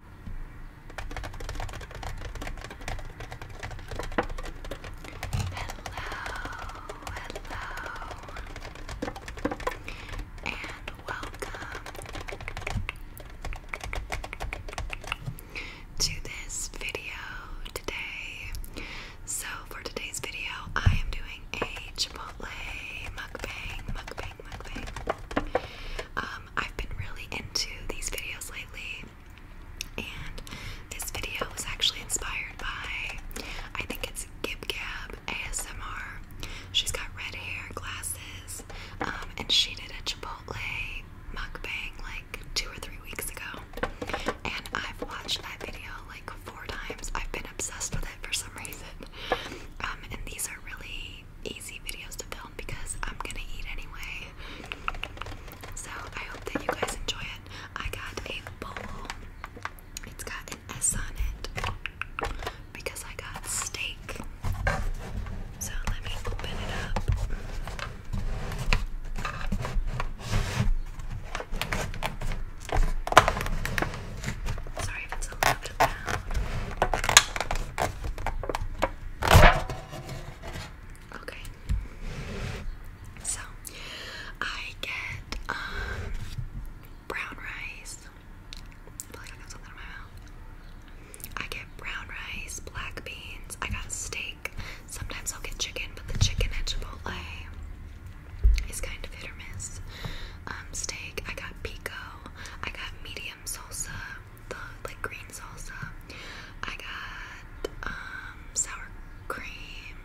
hello, and welcome to this video today. So, for today's video, I am doing a Chipotle mukbang, mukbang, mukbang. Uh, um, I've been really into these videos lately, and this video was actually inspired by, I think it's Gib Gab ASMR. She's got red hair, glasses, um, and she did a Chipotle mukbang like two or three weeks ago, and I've watched that video like four times. I've been obsessed with it for some reason, um, and these are really easy videos to film because I'm gonna eat anyway. So I hope that you guys enjoy it. I got a bowl. It's got an S on it because I got steak. So let me open it up. Sorry if it's a little bit loud. Okay. So I get um, brown rice. I feel like I got something in my mouth. I get brown rice, black beans, I got steak. Sometimes I'll get chicken, but the chicken at Chipotle is kind of hit or miss. Um, steak, I got pico, I got medium salsa, the like green salsa. I got um, sour cream,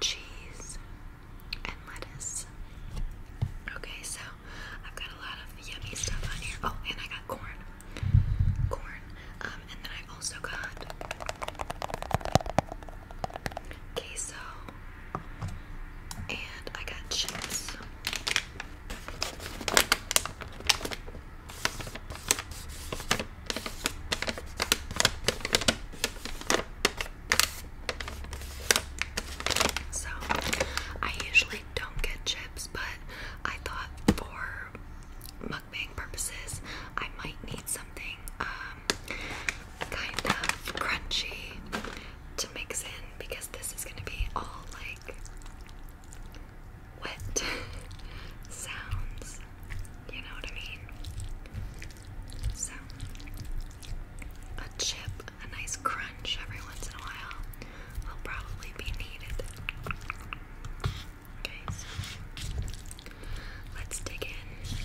cheese, and lettuce. Okay, so I've got a lot of yummy stuff on here. Oh, and I got corn. Corn. Um, and then I also got queso. And I got cheese. So, I usually don't get chips, but I thought for mukbang purposes, I might need something um, kind of crunchy to mix in because this is going to be all like wet sounds. You know what I mean? So, a chip, a nice crunch every once in a while will probably be needed. Okay, so let's dig in.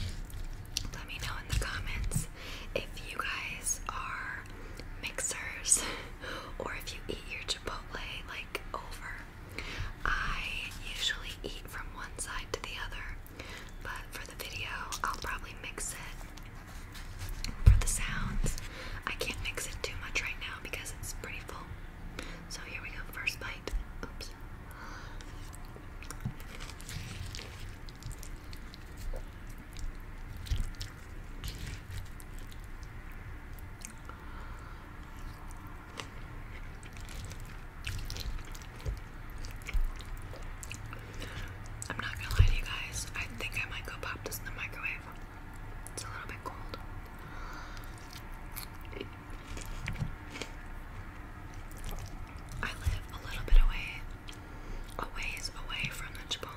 Let me know in the comments if you guys are mixers or if you eat your Chipotle like over. I usually eat from one side to the other, but for the video, I'll probably mix it for the sounds. I can't mix it too much right now because it's pretty full. So here we go, first bite. Oops. I'm not gonna lie to you guys, I think I might go pop this in the microwave. It's a little bit cold. I live a little bit away, a ways away from the Chipotle.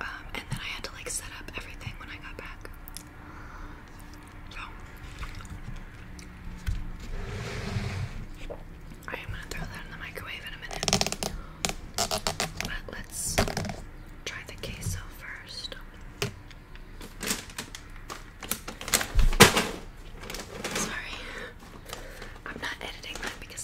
Um, and then I had to like set up everything when I got back. So I am gonna throw that in the microwave in a minute. But let's try the queso first. Sorry. I'm not editing that because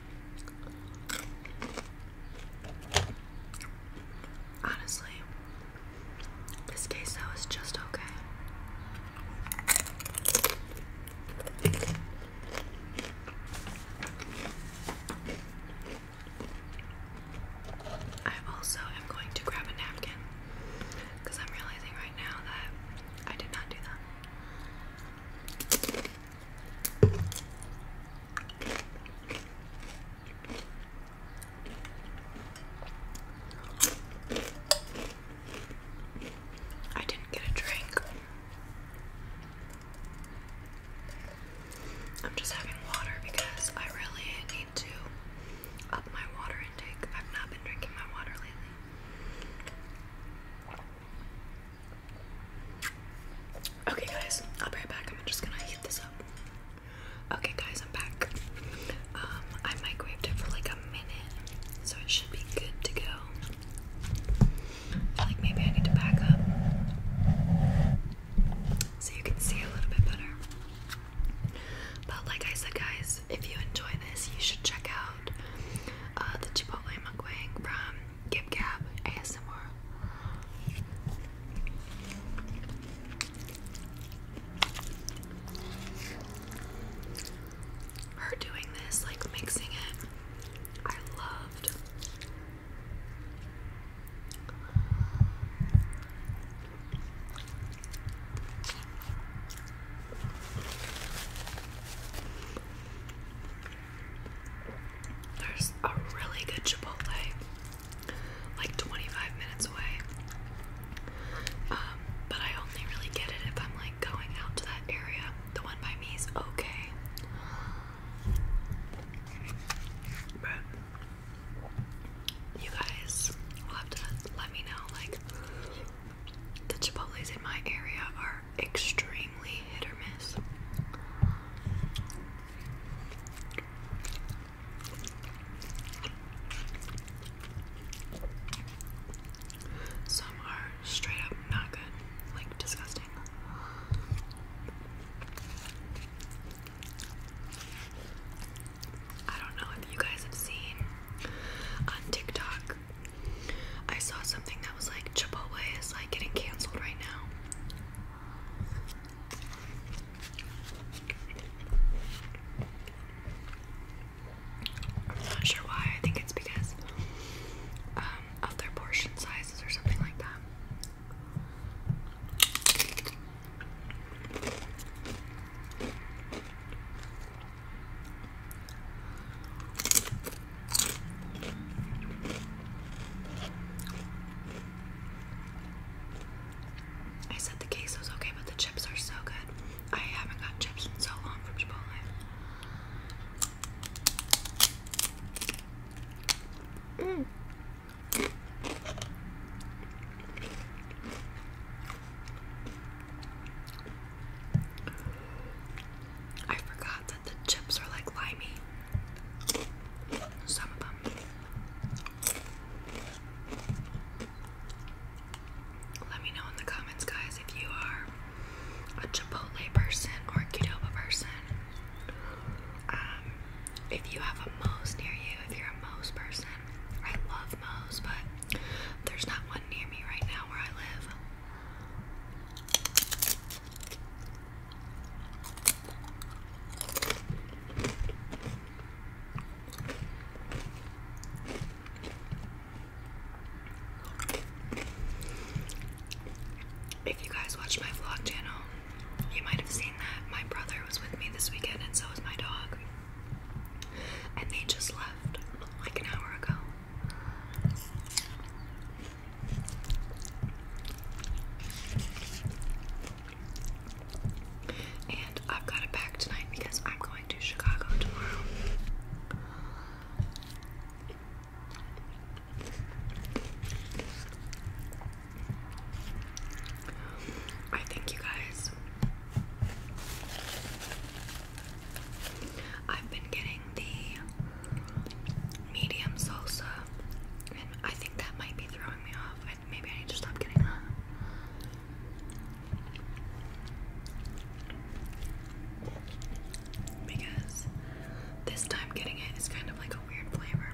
Honestly, this case though is just okay. I also am going to grab a napkin because I'm realizing right now that I did not do that. I didn't get a drink. I'm just having water because I really need to up my water intake. I've not been drinking my water lately. Okay, guys, I'll be right back. I'm just gonna heat this up. Okay, guys, I'm back. Um, I microwaved it for like a minute, so it should be good to go. I feel like maybe I need to back up so you can see a little bit better. But like I said, guys, if you enjoy this, you should check out uh, the Chipotle mukbang from Gib Gab ASMR. Her doing this, like mixing it, I loved. There's a really good Chipotle like 25 minutes away. Um, but I only really get it if I'm like going out to that area. The one by me is okay. But you guys will have to let me know like the Chipotle's in my area are extremely hit or miss. Some are straight up not good, like disgusting. I don't know if you guys have seen on TikTok. I saw something that was like Chipotle is like getting cancelled right now. I'm not sure why. I think it's because um, of their portion sizes or something like that. I said the case was okay, but the chips are so good. I haven't got chips in so long from Chipotle. Mm. I forgot that the chips are like limey. Some of them. Let me know in the comments, guys, if you are a Chipotle person or a Qdoba person. Um, if you have a Mo's near you, if you're a Mo's person, I love Mo's, but there's not one near me right now where I live. If you guys watch my vlog channel, you might have seen that my brother was with me this weekend, and so was my dog. And they just left like an hour ago. And I've got it back tonight because I'm going to Chicago tomorrow. I think you guys. I've been getting the medium salsa, and I think that might be throwing me off. maybe I need to stop getting that. Because this time getting it is kind of like a weird flavor.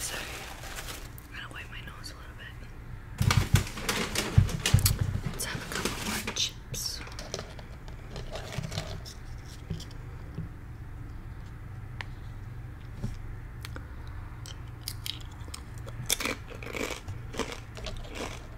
So I'm gonna wipe my nose a little bit. Let's have a couple more chips.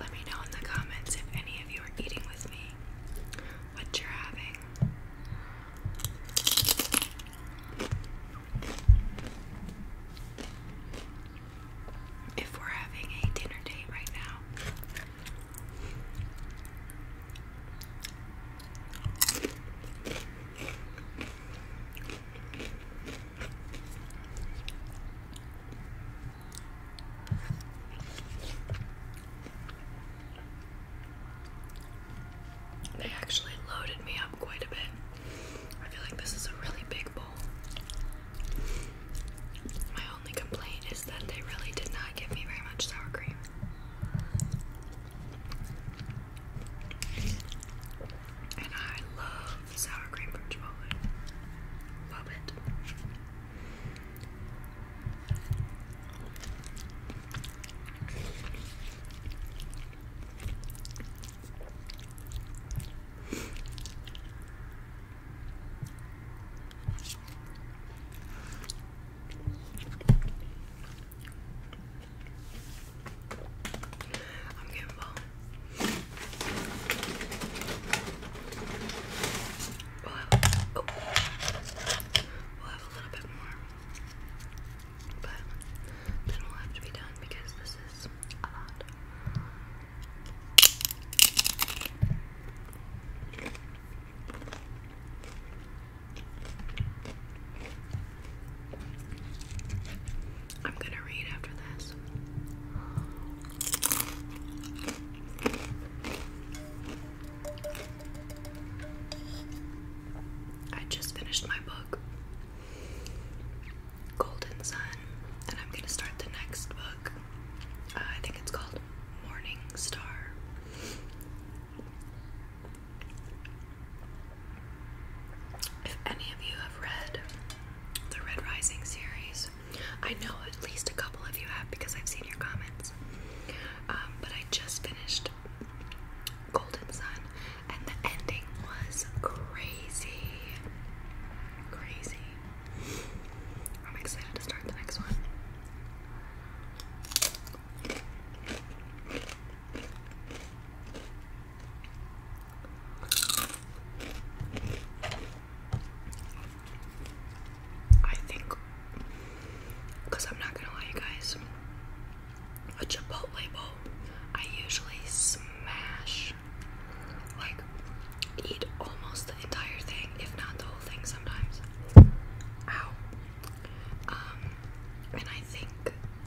Let me know in the comments if any of you are eating with me, what you're having. If we're having a dinner date right now. They actually loaded me up quite a bit. I feel like this is a really big bowl. My only complaint is that they really did not give me very much sour cream. And I love sour cream French Chipotle. Love it. I'm getting bone. Oh, we'll have a little bit more, but then we'll have to be done because this is a lot. I'm gonna read after this. I just finished my book, Golden Sun, and I'm gonna start the next book. Uh, I think it's called Morning Star. If any of you have read the Red Rising series, I know at least a couple of you have because I've seen your comments. Um, but I just finished Golden Sun, and the ending was crazy. Crazy. I'm excited to start the next one. I think, because I'm not gonna lie, you guys, a Chipotle I usually smash, like, eat almost the entire thing, if not the whole thing sometimes. Ow. Um, and I think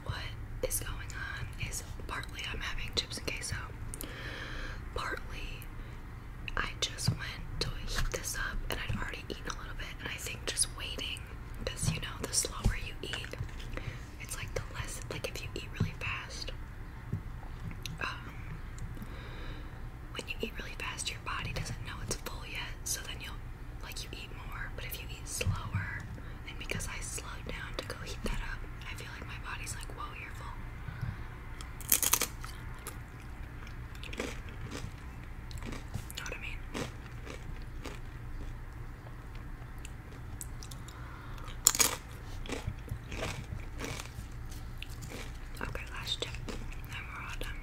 what is going on is partly I'm having chips and queso, partly I just went to heat this up and I'd already eaten a little bit, and I think just waiting because you know the slower you eat, it's like the less like if you eat really fast. Um, when you eat really fast, your body doesn't know it's full yet, so then you'll like you eat more. But if you eat slower, and because I slowed down to go heat that up, I feel like my body's like, whoa, you're full. Know what I mean? Okay, last chip. Now we're all done.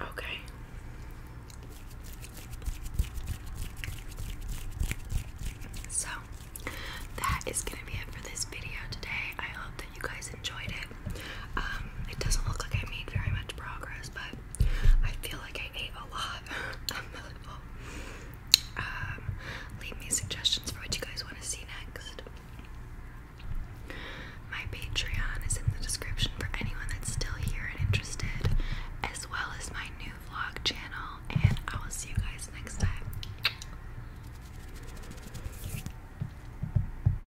Okay. So that is going to be it for this video today. I hope you guys enjoyed it. Um, it doesn't look like I made very much progress, but I feel like I ate a lot. Um, leave me suggestions for what you guys want to see next. My Patreon is in the description for anyone that's still here and interested, as well as my new vlog channel, and I will see you guys next time.